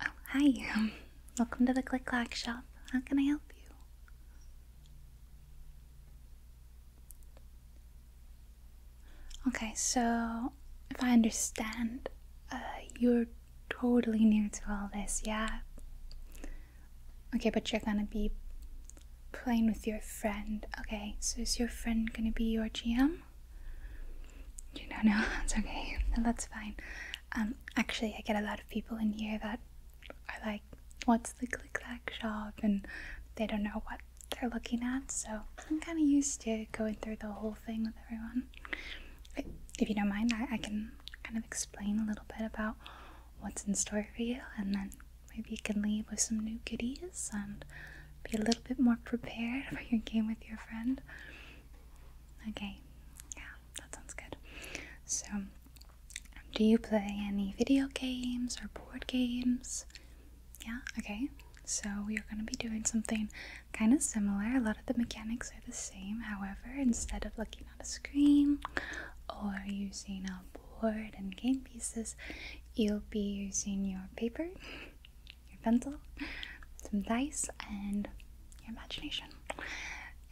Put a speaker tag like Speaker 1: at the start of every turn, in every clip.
Speaker 1: Oh, hi. Welcome to the Click Clack Shop. How can I help you? Okay, so if I understand, uh, you're totally new to all this, yeah? Okay, but you're gonna be playing with your friend. Okay, so is your friend gonna be your GM? You know, no, know, that's okay. That's fine. Um, actually, I get a lot of people in here that are like, what's the click clack shop? And they don't know what they're looking at, so I'm kind of used to going through the whole thing with everyone. If you don't mind, I can kind of explain a little bit about what's in store for you and then Maybe you can leave with some new goodies and be a little bit more prepared for your game with your friend. Okay, yeah, that sounds good. So, do you play any video games or board games? Yeah, okay. So, we are going to be doing something kind of similar. A lot of the mechanics are the same. However, instead of looking a screen or using a board and game pieces, you'll be using your paper, your pencil, some dice, and your imagination.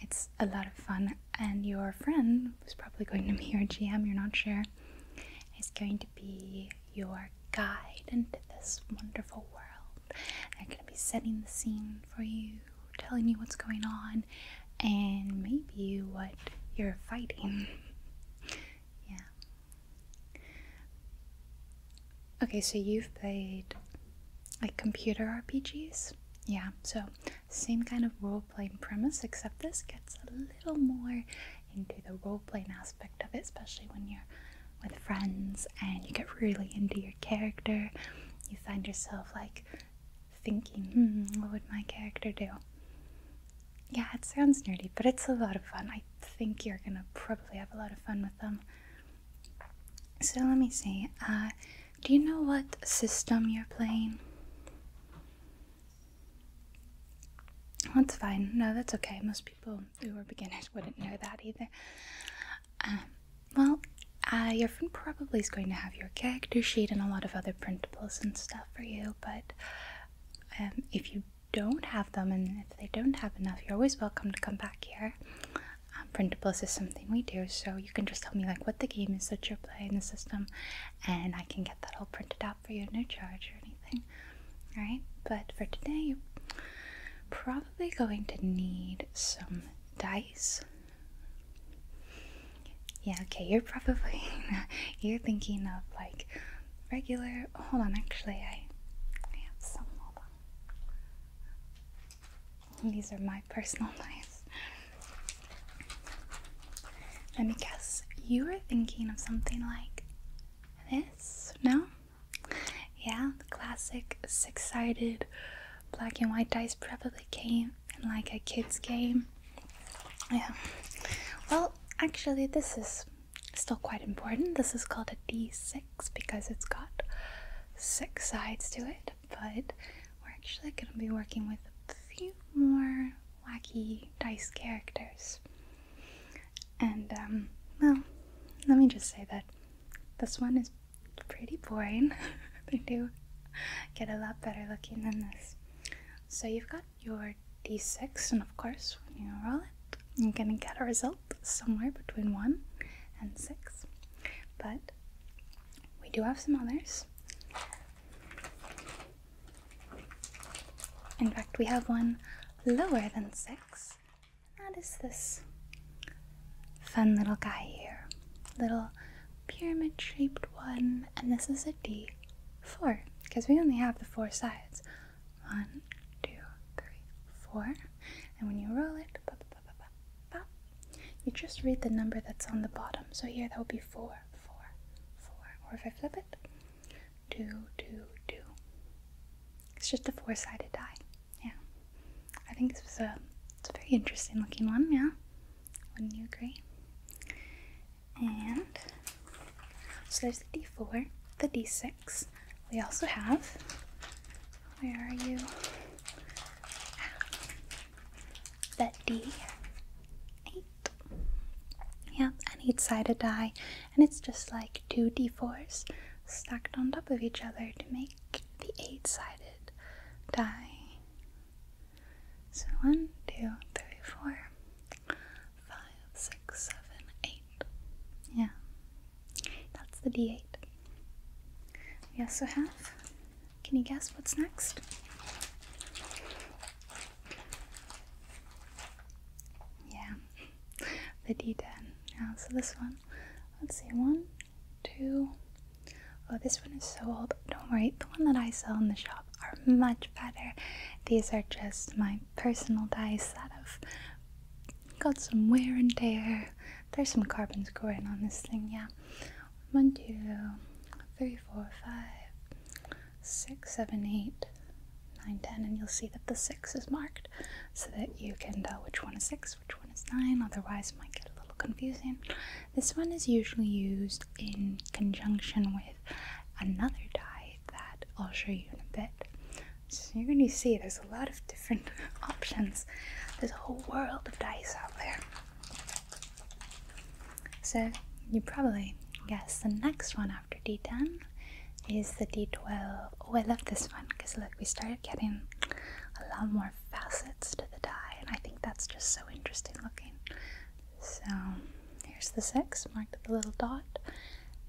Speaker 1: It's a lot of fun, and your friend, who's probably going to be your GM, you're not sure, is going to be your guide into this wonderful world. They're going to be setting the scene for you telling you what's going on and maybe what you're fighting. yeah. Okay, so you've played like computer RPGs? Yeah, so same kind of role playing premise, except this gets a little more into the role playing aspect of it, especially when you're with friends and you get really into your character. You find yourself like thinking, hmm, what would my character do? Yeah, it sounds nerdy, but it's a lot of fun. I think you're gonna probably have a lot of fun with them. So let me see. Uh, do you know what system you're playing? That's fine. No, that's okay. Most people who are beginners wouldn't know that either. Um, well, uh, you're different probably is going to have your character sheet and a lot of other printables and stuff for you but um, if you don't have them and if they don't have enough you're always welcome to come back here um, printables is something we do so you can just tell me like what the game is that you're playing the system and i can get that all printed out for you no charge or anything right? but for today you're probably going to need some dice yeah, okay, you're probably you're thinking of like regular hold on, actually I I have some hold These are my personal knives. Let me guess, you are thinking of something like this, no? Yeah, the classic six sided black and white dice, probably game and like a kids game. Yeah. Well, actually, this is still quite important. This is called a d6 because it's got six sides to it, but we're actually going to be working with a few more wacky dice characters. And, um, well, let me just say that this one is pretty boring. they do get a lot better looking than this. So you've got your d6, and of course, when you roll it, you're gonna get a result somewhere between 1 and 6. But we do have some others. In fact, we have one lower than 6. And that is this fun little guy here. Little pyramid shaped one, and this is a D, four, because we only have the four sides. One, two, three, four. And when you roll it, you just read the number that's on the bottom. So here that will be four, four, four. Or if I flip it, two, two, two. It's just a four sided die. Yeah. I think this was a, it's a very interesting looking one, yeah. Wouldn't you agree? And so there's the d4, the d6. We also have, where are you? That d8. Yep, and each side a die, and it's just like two d4s stacked on top of each other to make the eight sided die. So one, two, three, four, five, six, seven, eight. Yeah, that's the D8. Yes, also have, can you guess what's next? Yeah, the D10. Yeah, so this one, let's see, one, two, Oh, this one is so old. Don't worry, the one that I sell in the shop are much better. These are just my personal dice that have got some wear and tear. There's some carbons scoring on this thing, yeah. One, two, three, four, five, six, seven, eight, nine, ten, and you'll see that the six is marked so that you can tell which one is six, which one is nine. Otherwise, it might get a little confusing. This one is usually used in conjunction with another die that I'll show you in a bit. So you're going to see there's a lot of different options. There's a whole world of dice out there. So you probably guess the next one after D10 is the D12. Oh, I love this one because look, we started getting a lot more facets to the die and I think that's just so interesting looking. So here's the 6 marked with a little dot.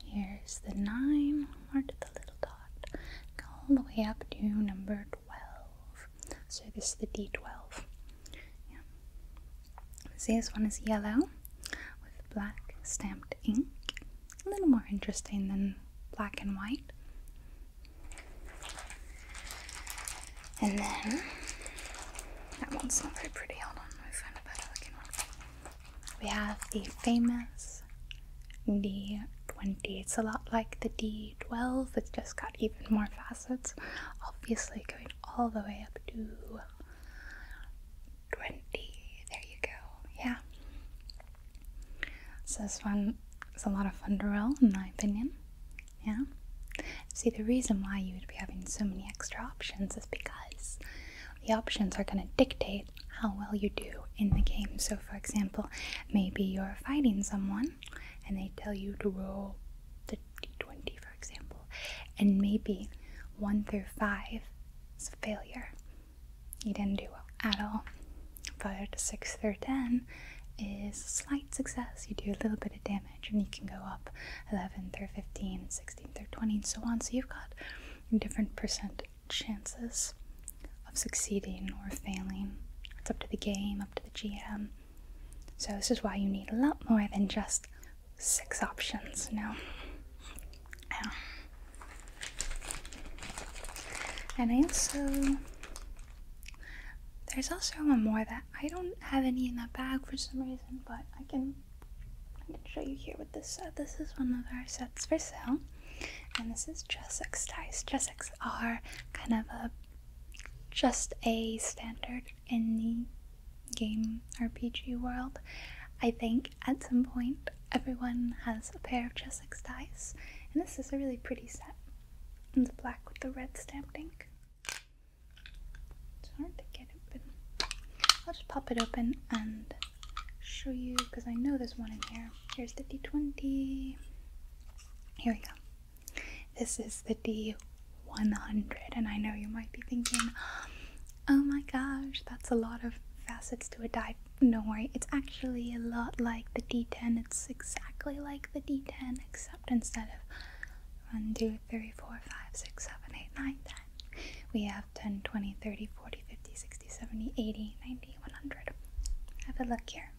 Speaker 1: Here's the 9 marked with a little dot. all the way up to number 12. So this is the D12. Yeah. See, this one is yellow with black stamped ink. A little more interesting than black and white. And then that one's not very pretty. Hold on, find a better looking one. We have the famous D20. It's a lot like the D12. It's just got even more facets. Obviously, going all the way up to 20. There you go. Yeah. So this one is a lot of fun to roll, in my opinion. Yeah? See, the reason why you would be having so many extra options is because the options are going to dictate how well you do in the game. So, for example, maybe you're fighting someone and they tell you to roll the d20, for example, and maybe 1 through 5 is a failure. You didn't do well at all. 5 to 6 through 10 is a slight success. You do a little bit of damage. Your knee can go up 11th or 15th, through twenty, and so on. So you've got different percent chances of succeeding or failing. It's up to the game, up to the GM. So this is why you need a lot more than just six options, you Yeah. And I also, there's also one more that I don't have any in that bag for some reason, but I can I can show you here with this set. This is one of our sets for sale, and this is Jessex ties. Jessex are kind of a just a standard in the game RPG world. I think at some point everyone has a pair of Jessex dice, and this is a really pretty set. in the black with the red stamped ink. It's hard to get open. I'll just pop it open and show you because I know there's one in here. Here's the D20. Here we go. This is the D100, and I know you might be thinking, oh my gosh, that's a lot of facets to a die. No worry, it's actually a lot like the D10. It's exactly like the D10, except instead of 1, We have 10, 20, 30, 40, 50, 60, 70, 80, 90, 100. Have a look here.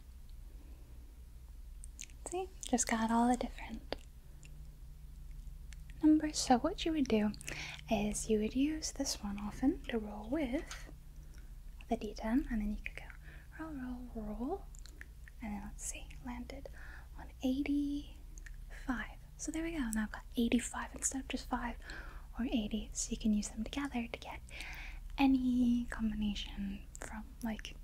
Speaker 1: See, just got all the different numbers. So what you would do is you would use this one often to roll with the D10 and then you could go roll, roll, roll and then let's see, landed on 85. So there we go. Now I've got 85 instead of just 5 or 80. So you can use them together to get any combination from like,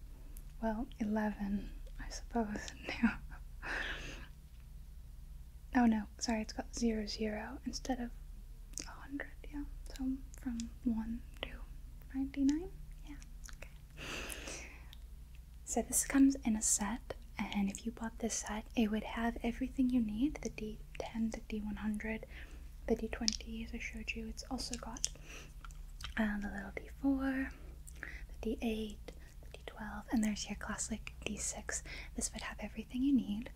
Speaker 1: well, 11, I suppose, no. oh no, sorry, it's got 0, 0 instead of 100, yeah. So from 1 to 99, yeah, okay. So this comes in a set, and if you bought this set, it would have everything you need: the D10, the D100, the D20 as I showed you. It's also got uh, the little D4, the D8, the D12, and there's your classic D6. This would have everything you need.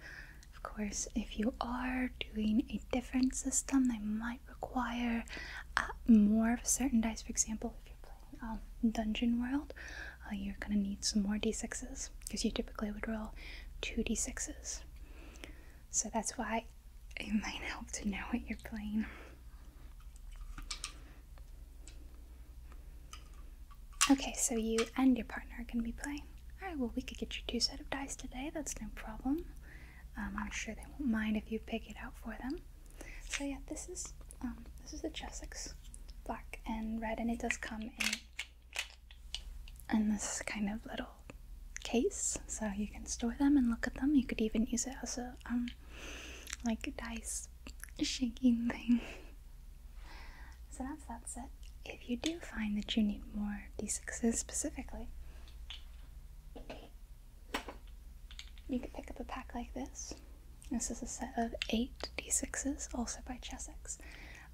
Speaker 1: Of course, if you are doing a different system, they might require uh, more of a certain dice. For example, if you're playing um, Dungeon World, uh, you're going to need some more d6s because you typically would roll two d6s. So that's why it might help to know what you're playing. Okay, so you and your partner are going to be playing. Alright, well, we could get you two set of dice today, that's no problem. Um, I'm sure they won't mind if you pick it out for them. So yeah, this is um, this is the Chessex, black and red, and it does come in in this kind of little case, so you can store them and look at them. You could even use it as a um, like a dice shaking thing. so that's that's it. If you do find that you need more d6s specifically, you can pick up a pack like this. This is a set of eight d6s, also by Chessex.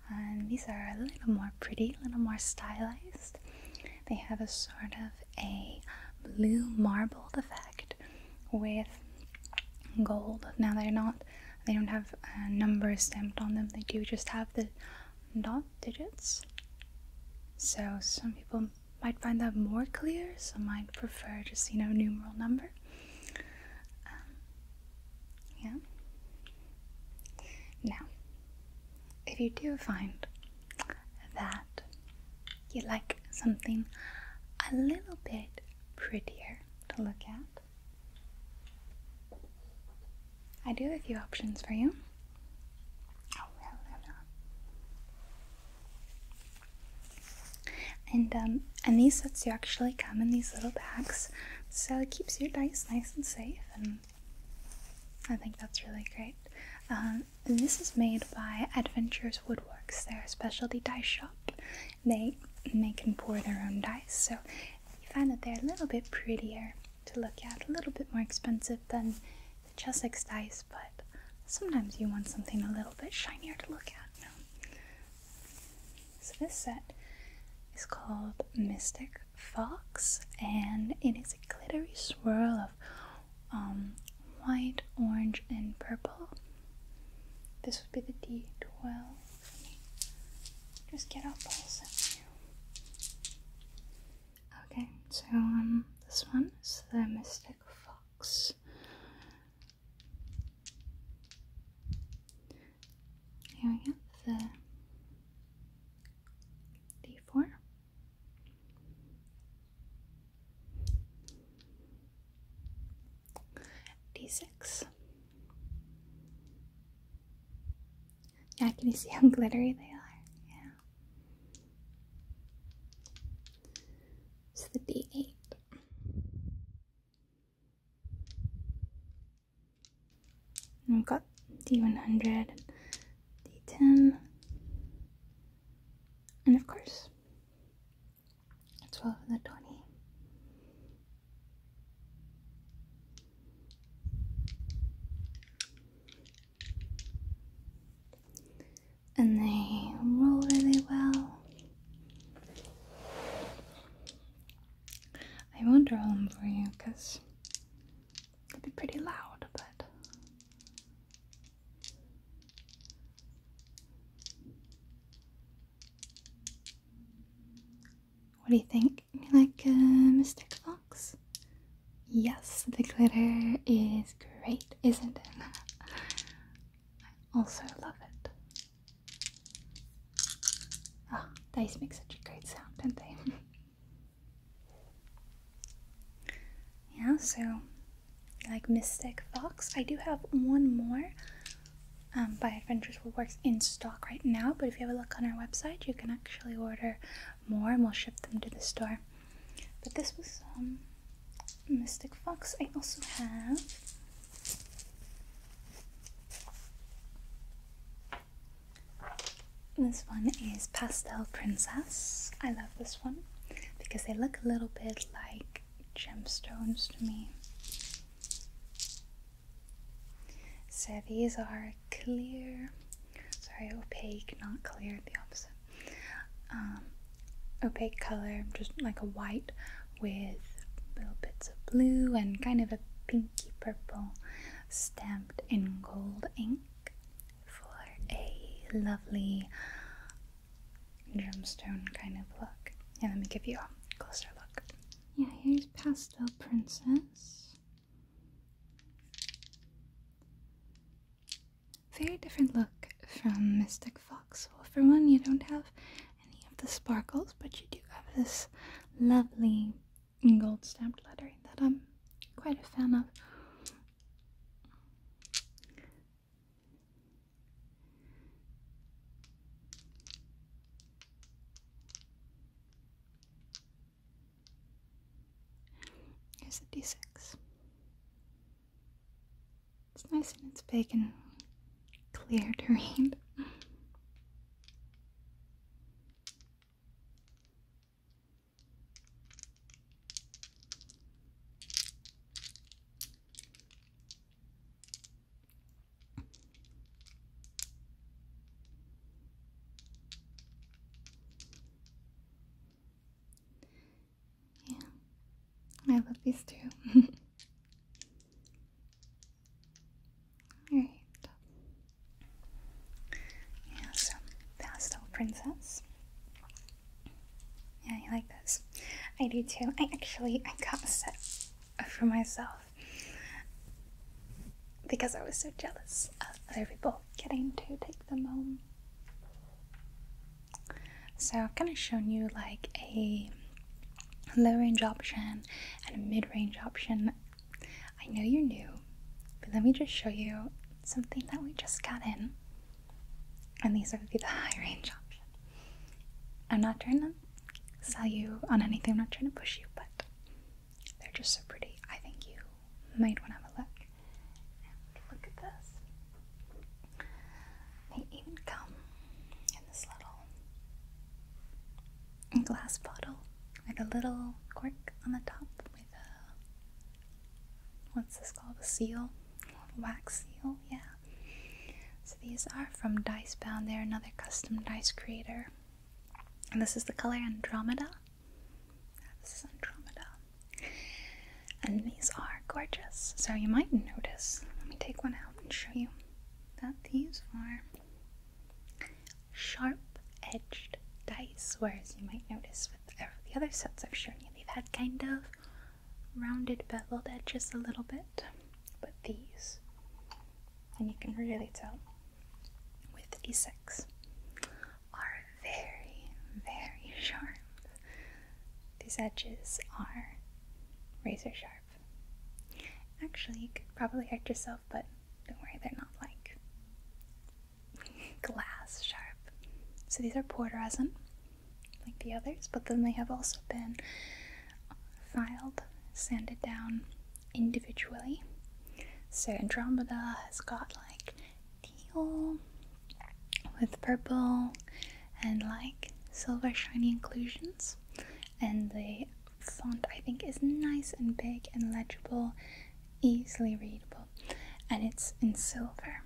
Speaker 1: And these are a little more pretty, a little more stylized. They have a sort of a blue marbled effect with gold. Now they're not, they don't have uh, numbers stamped on them. They do just have the dot digits. So some people might find that more clear, so might prefer just, you know, numeral number. Um, yeah. Now, if you do find that you like something a little bit prettier to look at, I do have a few options for you. And um, and these sets do actually come in these little bags, so it keeps your dice nice and safe. And I think that's really great. Um, and this is made by Adventures Woodworks. They're a specialty dice shop. They make and pour their own dice, so you find that they're a little bit prettier to look at, a little bit more expensive than the Chessex dice, but sometimes you want something a little bit shinier to look at. So this set is called Mystic Fox, and it is a glittery swirl of um, white, orange, and purple. This would be the D12. Just get out balls Okay, so um, this one is the Mystic Fox. Here we have the D4. D6. Yeah, can you see how glittery they are? Yeah. It's the D8. And we've got D100, D10, and of course, 12 and the 20 and they roll really well. I won't draw them for you because it would be pretty loud, but what do you think? You like a uh, mystic fox? Yes, the glitter is great, isn't it? I also love it. Oh, ah, dice make such a great sound, don't they? yeah, so like Mystic Fox. I do have one more um, by Adventures Woodworks in stock right now, but if you have a look on our website, you can actually order more and we'll ship them to the store. But this was um, Mystic Fox. I also have this one is Pastel Princess. I love this one because they look a little bit like gemstones to me. So these are clear, sorry, opaque, not clear, the opposite. Um, opaque color, just like a white with little bits of blue and kind of a pinky purple stamped in gold ink for a lovely gemstone kind of look. yeah, let me give you a closer look. Yeah, here's Pastel Princess. Very different look from Mystic Fox. Well, for one, you don't have any of the sparkles, but you do have this lovely gold stamped lettering that I'm quite a fan of. Here's a d6. It's nice and it's big and clear to read. Yeah, I love these two. Alright. Yeah, so pastel princess. Yeah, I like this. I do too. I actually I got a set for myself because I was so jealous of other people getting to take them home. So I've kind of shown you like a low range option and a mid range option. I know you're new, but let me just show you something that we just got in. And these would be the high range option. I'm not trying to sell you on anything, I'm not trying to push you, but they're just so pretty. I think you might want to have a look look at this. They even come in this little glass bottle with a little cork on the top with a what's this called? A seal? wax seal, yeah. So these are from Dice Bound. They're another custom dice creator. And this is the color Andromeda. This is And these are gorgeous. So you might notice, let me take one out and show you, that these are sharp edged dice, whereas you might notice with the other sets I've shown you, they've had kind of rounded beveled edges a little bit. But these, and you can really tell with D6 are very, very sharp. These edges are razor sharp. Actually, you could probably hurt yourself, but don't worry, they're not like glass sharp. So these are poured resin, like the others, but then they have also been filed, sanded down individually. So Andromeda has got like teal with purple and like silver shiny inclusions and the font I think is nice and big and legible easily readable and it's in silver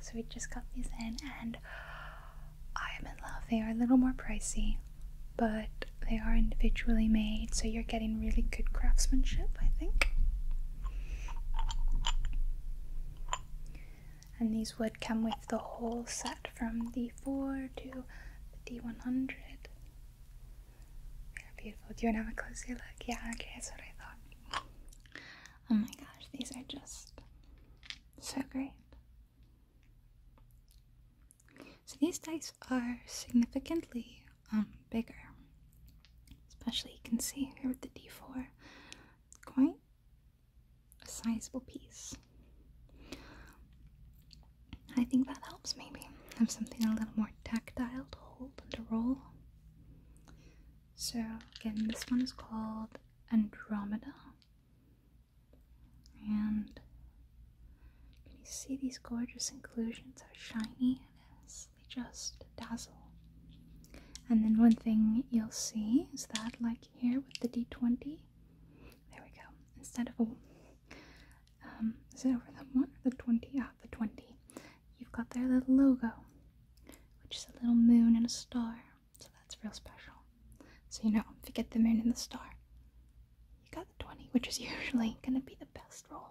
Speaker 1: so we just got these in and I am in love they are a little more pricey but they are individually made so you're getting really good craftsmanship I think and these would come with the whole set from the 4 to the 100 Yeah, beautiful. Do you want to have a closer look? Yeah, okay, that's what I thought. Oh my gosh, these are just so great. So these dice are significantly um, bigger. Especially you can see here with the D4, quite a sizable piece. I think that helps maybe. Have something a little more tactile to hold and to roll. So again, this one is called Andromeda. And can you see these gorgeous inclusions? How shiny it is just dazzle. And then one thing you'll see is that, like here with the d20, there we go. Instead of a, um, is it over the one or the 20? Ah, the 20. You've got their little logo, which is a little moon and a star. So that's real special. So, you know, if you get the moon and the star, you got the 20, which is usually going to be the best roll.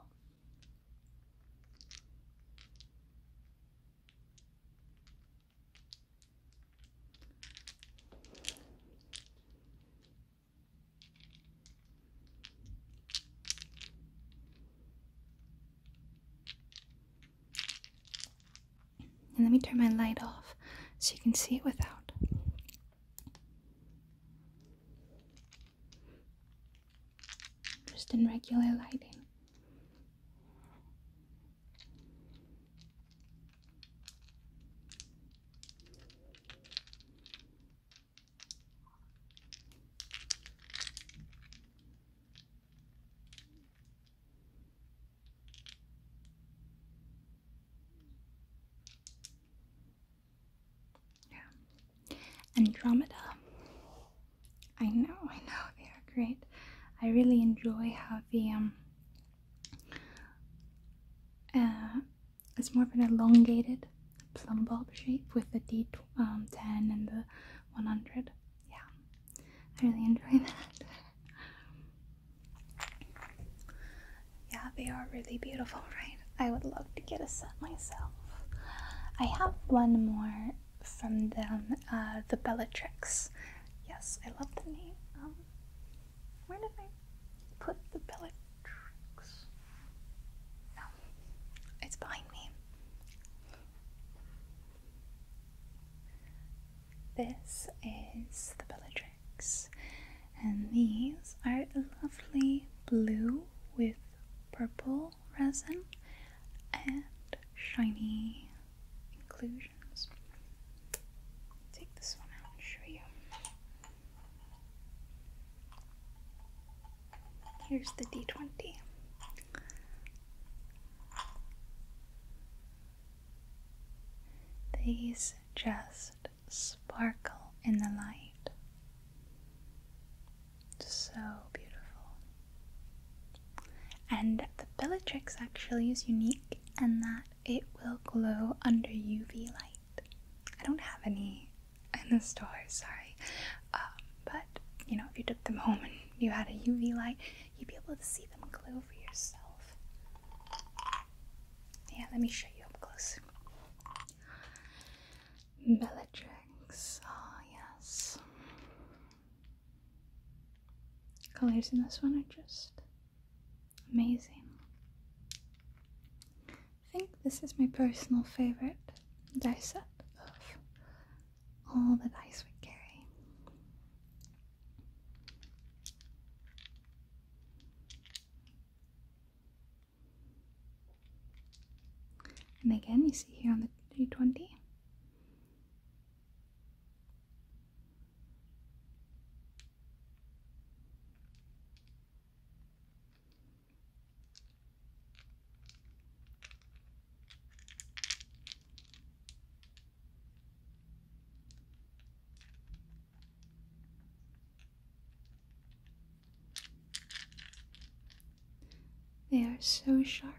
Speaker 1: And let me turn my light off so you can see it without just in regular lighting. Yeah. Andromeda. I know, I know, they are great. I really enjoy how the um uh it's more of an elongated plum bulb shape with the D um, 10 and the 100. Yeah, I really enjoy that. yeah, they are really beautiful, right? I, would love to get a set myself. I have one more from them, uh, the Bellatrix. Yes, I love the name. Um, where did I put the Bellatrix? No, it's behind me. This is the Bellatrix, and these are lovely blue with purple resin and shiny inclusions. Take this one out and show you. Here's the D20. These just sparkle in the light. So beautiful. And the Bellatrix actually is unique in that it will glow under UV light. I don't have any in the store, sorry. Um, but you know, if you took them home and you had a UV light, you'd be able to see them glow for yourself. Yeah, let me show you up close. Bellatrix. Ah, oh, yes. Colors in this one are just amazing. I think this is my personal favorite dice set of all the dice we carry. And again, you see here on the 320. They are so sharp.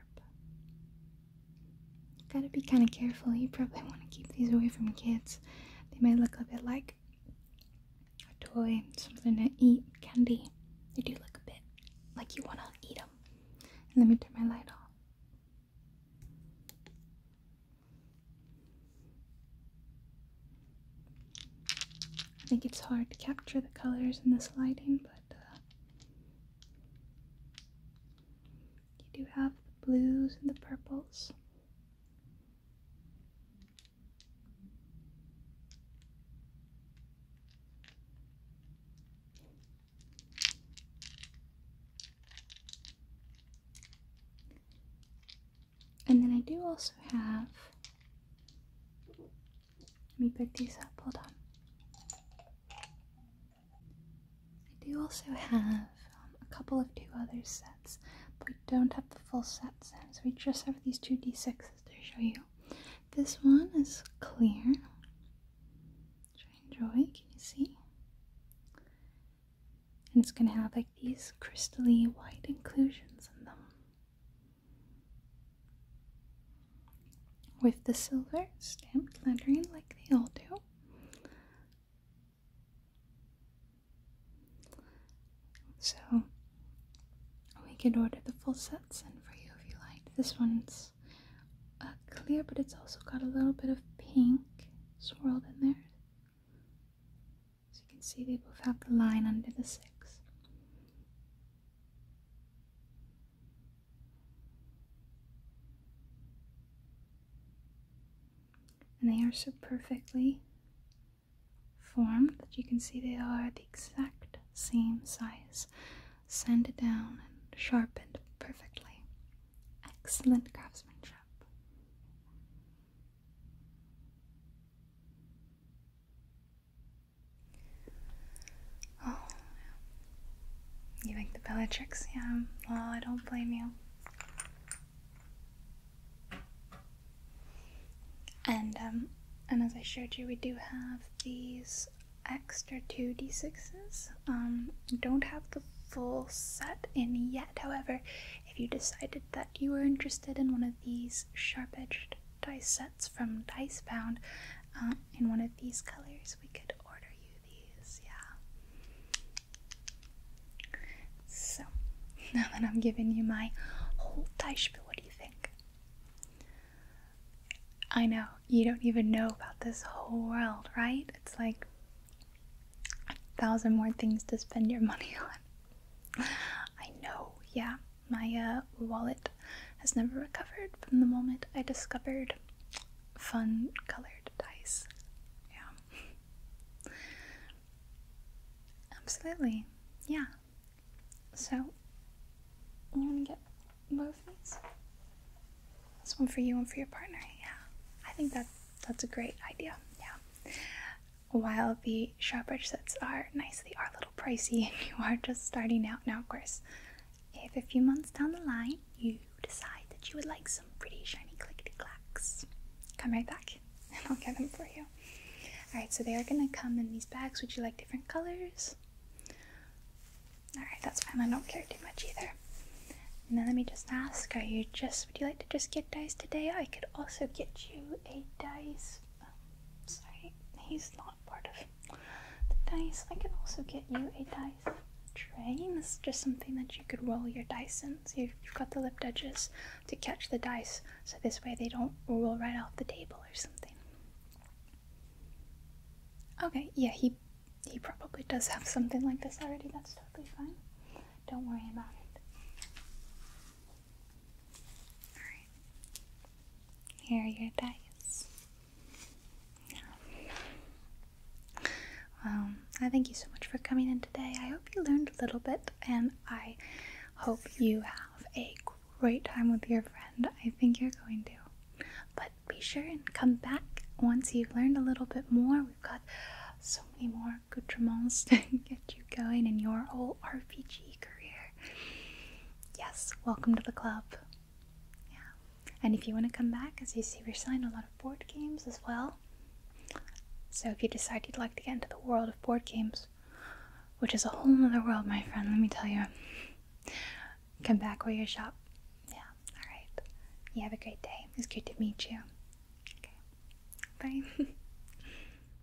Speaker 1: You gotta be kind of careful. You probably want to keep these away from kids. They might look a bit like a toy, something to eat, candy. They do look a bit like you want to eat them. let me turn my light off. I think it's hard to capture the colors in this lighting, but uh, you do have the blues and the purples. And then I do also have let me pick these up. Hold on. I do also have um, a couple of two other sets, but we don't have the full set set, so we just have these two d6s to show you. This one is clear, which I Can you see? And it's going to have like these crystally white inclusions in them with the silver stamped lettering like they all do. So we could order the full sets in for you if you like. This one's uh, clear, but it's also got a little bit of pink swirled in there. As you can see, they both have the line under the six. And they are so perfectly formed that you can see they are the exact same size, sanded down and sharpened perfectly. Excellent craftsmanship. Oh, You like the Bellatrix? Yeah, well, I don't blame you. And, um, and as I showed you, we do have these extra 2d6s. Um, don't have the full set in yet, however, if you decided that you were interested in one of these sharp edged dice sets from Dice Bound uh, in one of these colors, we could order you these. Yeah. So, now that I'm giving you my whole dice bill, what do you think? I know, you don't even know about this whole world, right? It's like a thousand more things to spend your money on. I know, yeah. My uh, wallet has never recovered from the moment I discovered fun colored dice. Yeah. Absolutely. Yeah. So, I'm gonna get both these. This one for you and for your partner. Yeah. I think that that's a great idea. Yeah while the shopper sets are nice, they are a little pricey and you are just starting out. Now, of course, if a few months down the line you decide that you would like some pretty shiny clicky clacks, come right back and I'll get them for you. Alright, so they are going to come in these bags. Would you like different colors? Alright, that's fine. I don't care too much either. Now let me just ask, are you just, would you like to just get dice today? I could also get you a dice sorry, he's not part of the dice. I can also get you a dice tray. And this is just something that you could roll your dice in. So you've, got the lip edges to catch the dice, so this way they don't roll right off the table or something. Okay, yeah, he he probably does have something like this already. That's totally fine. Don't worry about it. Alright. Here are your dice. Yeah. Well, um, I thank you so much for coming in today. I hope you learned a little bit, and I hope you have a great time with your friend. I think you're going to. But be sure and come back once you've learned a little bit more. We've got so many more good accoutrements to get you going in your whole RPG career yes, welcome to the club. Yeah. And if you want to come back, as you see, we're selling a lot of board games as well. So if you decide you'd like to get into the world of board games, which is a whole nother world, my friend, let me tell you, come back where you shop. Yeah, alright. You have a great day. It's good to meet you. Okay. Bye.